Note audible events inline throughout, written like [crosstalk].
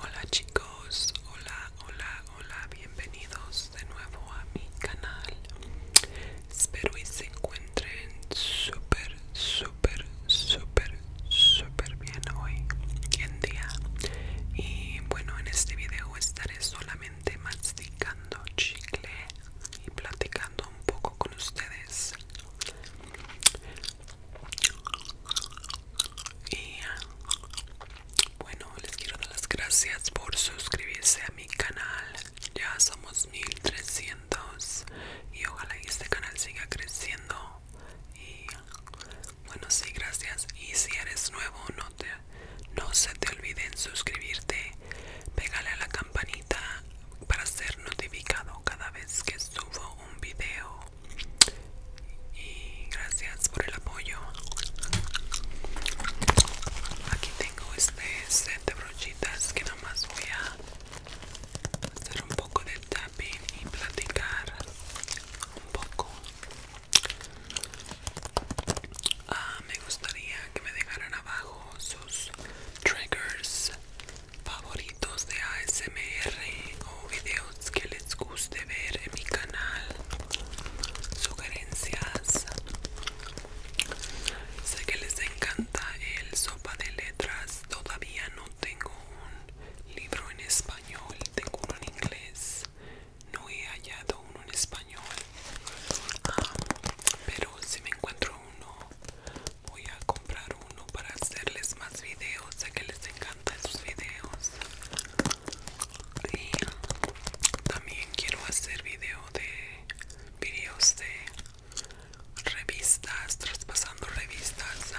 Hola chicos, hola, hola, hola, bienvenidos de nuevo a mi canal. Espero y se encuentren súper, súper, súper, súper bien hoy en día. Y bueno, en este video estaré solamente masticando chicle y platicando un poco con ustedes. Y ah, bueno, les quiero dar las gracias por suscribirse a mi canal. Ya somos 1300 y ojalá este canal siga creciendo. Y bueno, sí, gracias. Y si eres nuevo, no te no se te olviden suscribirte, pégale a la campanita para ser notificado cada vez que subo un video y gracias por el apoyo aquí tengo este set de brochitas que nomás voy a hacer un poco de tapping y platicar un poco ah, me gustaría que me dejaran abajo sus triggers favoritos de ASMR o videos que les guste ver en mi canal, sugerencias. Sé que les encanta el sopa de letras, todavía no tengo un libro en español, tengo uno en inglés, no he hallado uno en español, ah, pero si me encuentro uno voy a comprar uno para hacerles más videos sé que les encantan sus videos y también quiero hacer video de videos de revistas traspasando revistas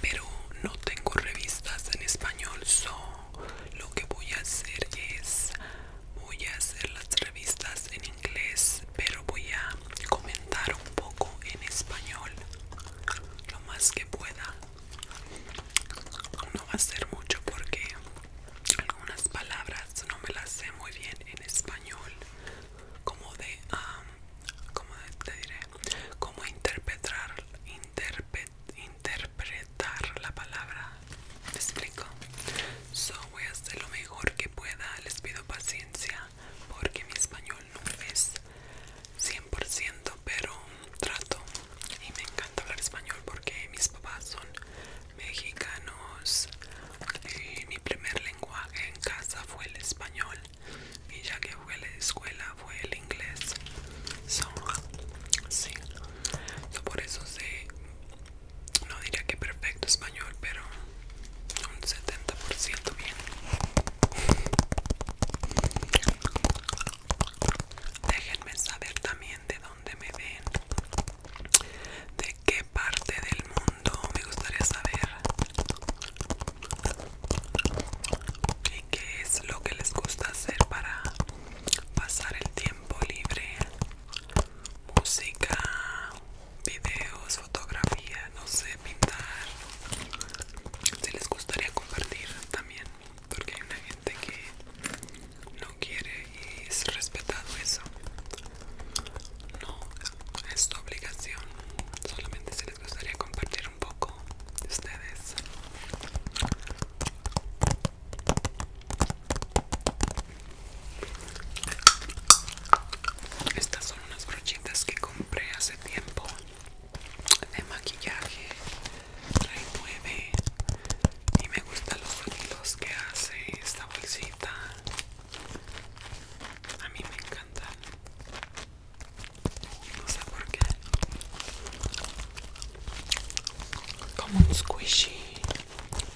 pero no tengo revistas en español so lo que voy a hacer es voy a hacer las revistas en inglés pero voy a comentar un poco en español lo más que pueda no va a ser mucho porque algunas palabras no me las sé muy bien en español como de como te diré como interpretar interpretar la palabra. explico? So voy a hacer lo mejor que pueda. Les pido paciencia porque mi español no es 100%, pero trato. Y me encanta hablar español porque mis papás son mexicanos. Y mi primer lenguaje en casa fue el español. Y ya que fue la escuela fue el inglés. sí. por eso sé no diría que perfecto español, pero un 70% bien. Déjenme saber también de dónde me ven, de qué parte del mundo me gustaría saber, y qué es lo que les gusta hacer para pasar el tiempo libre música, videos, fotografía, no sé, pintar. Si les gustaría compartir también, porque hay una gente que no quiere y es respetado eso. No, es tu obligación. Solamente si les gustaría compartir un poco de ustedes. Estas son unas brochitas que compré hace tiempo de maquillaje. Trae nueve y me gustan los sonidos que hace esta bolsita. A mí me encantan. No sé por qué como un squishy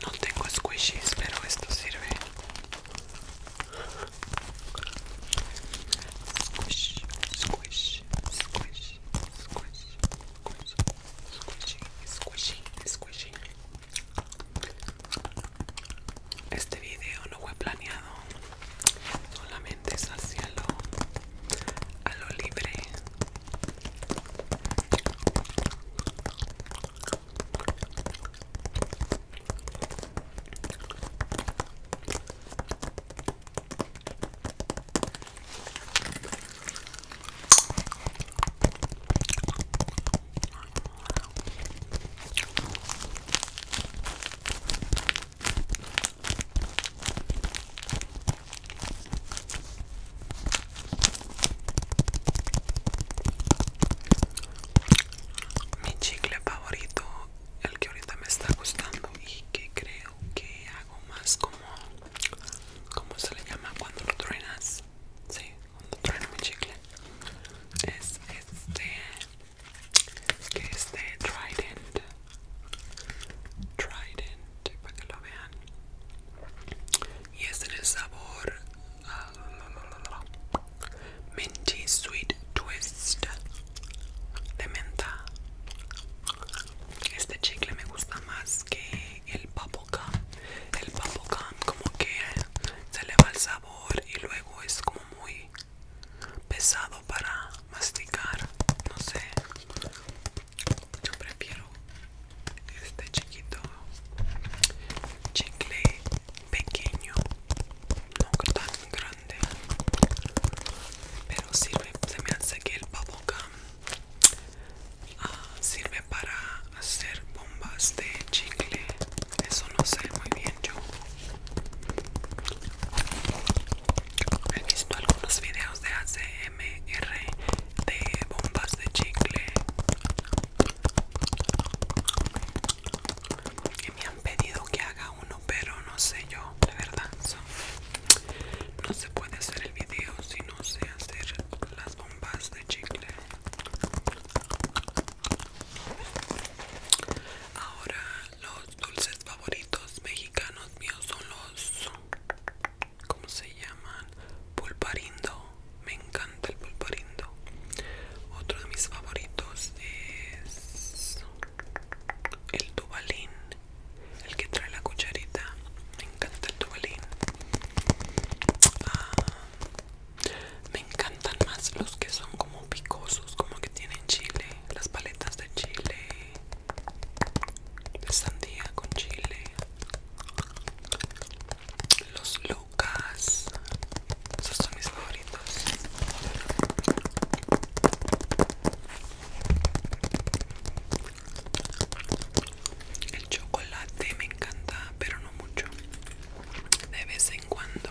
no tengo squishies pero esto sirve squish squish squish squish squishy squishy squishy este video no fue planeado solamente es al cielo a lo libre. Mi chicle favorito, el que ahorita me está gustando y que creo que hago más como, ¿cómo se le llama cuando lo truenas? Sí, cuando trueno mi chicle. Es este, que es Trident Trident para que lo vean. Y es el sabor Menti ah, Minty Sweet Twist de menta. Este chicle me gusta más que el gum El gum como que se le va el sabor y luego es como muy pesado para masticar. No sé yo prefiero este chiquito chicle pequeño no tan grande pero sirve se me hace que el bubblegum uh, ah, sirve para hacer bombas de chicle eso no sé muy bien yo He visto algunos videos de ACMR de bombas de chicle que me han pedido que haga uno, pero no sé yo, la verdad. no se puede hacer el video si no sé hacer las bombas de chicle. Ahora los dulces favoritos mexicanos míos son los ¿cómo se llaman? pulparindo me encanta el pulparindo otro de mis favoritos es el tubalín el que trae la cucharita me encanta el tubalín ah, me encantan más los que son como picosos como que tienen chile las paletas de chile sandía con chile, los lucas, esos son mis favoritos. El chocolate me encanta, pero no mucho. De vez en cuando.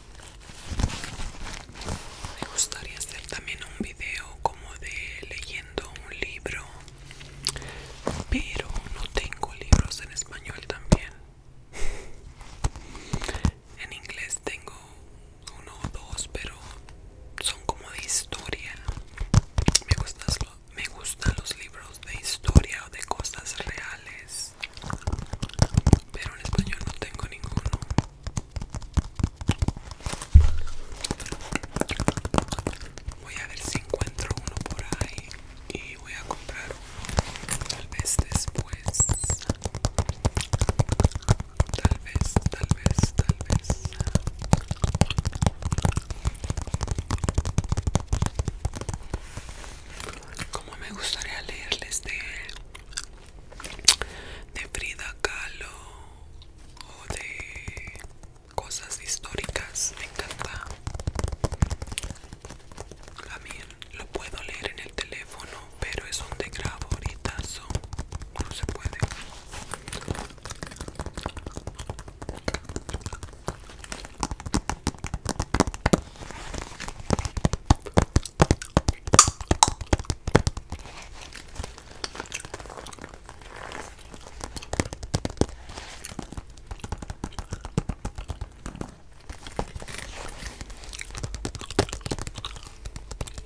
Me gustaría hacer también un video como de leyendo un libro, pero no tengo libros en español también. [laughs] En inglés tengo uno o dos, pero son como de historia. Me gustan, me gustan los libros de historia o de cosas reales pero en español no tengo ninguno voy a ver si encuentro uno por ahí y voy a comprar uno tal vez después tal vez tal vez tal vez como me gustaría leerles de de Frida Kahlo o de cosas históricas me encanta también lo puedo leer en el teléfono pero es donde grabo ahorita no se puede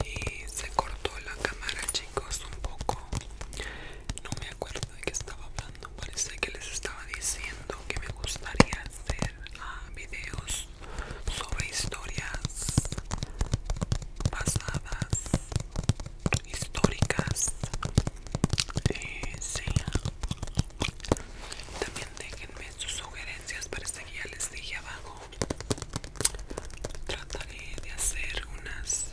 y se cortó la cámara, chicos, un poco. No me acuerdo de qué estaba hablando. Parece que les estaba diciendo que me gustaría hacer a ah, videos sobre historias pasadas históricas eh, también déjenme sus sugerencias para este que guía les dije abajo trataré de hacer unas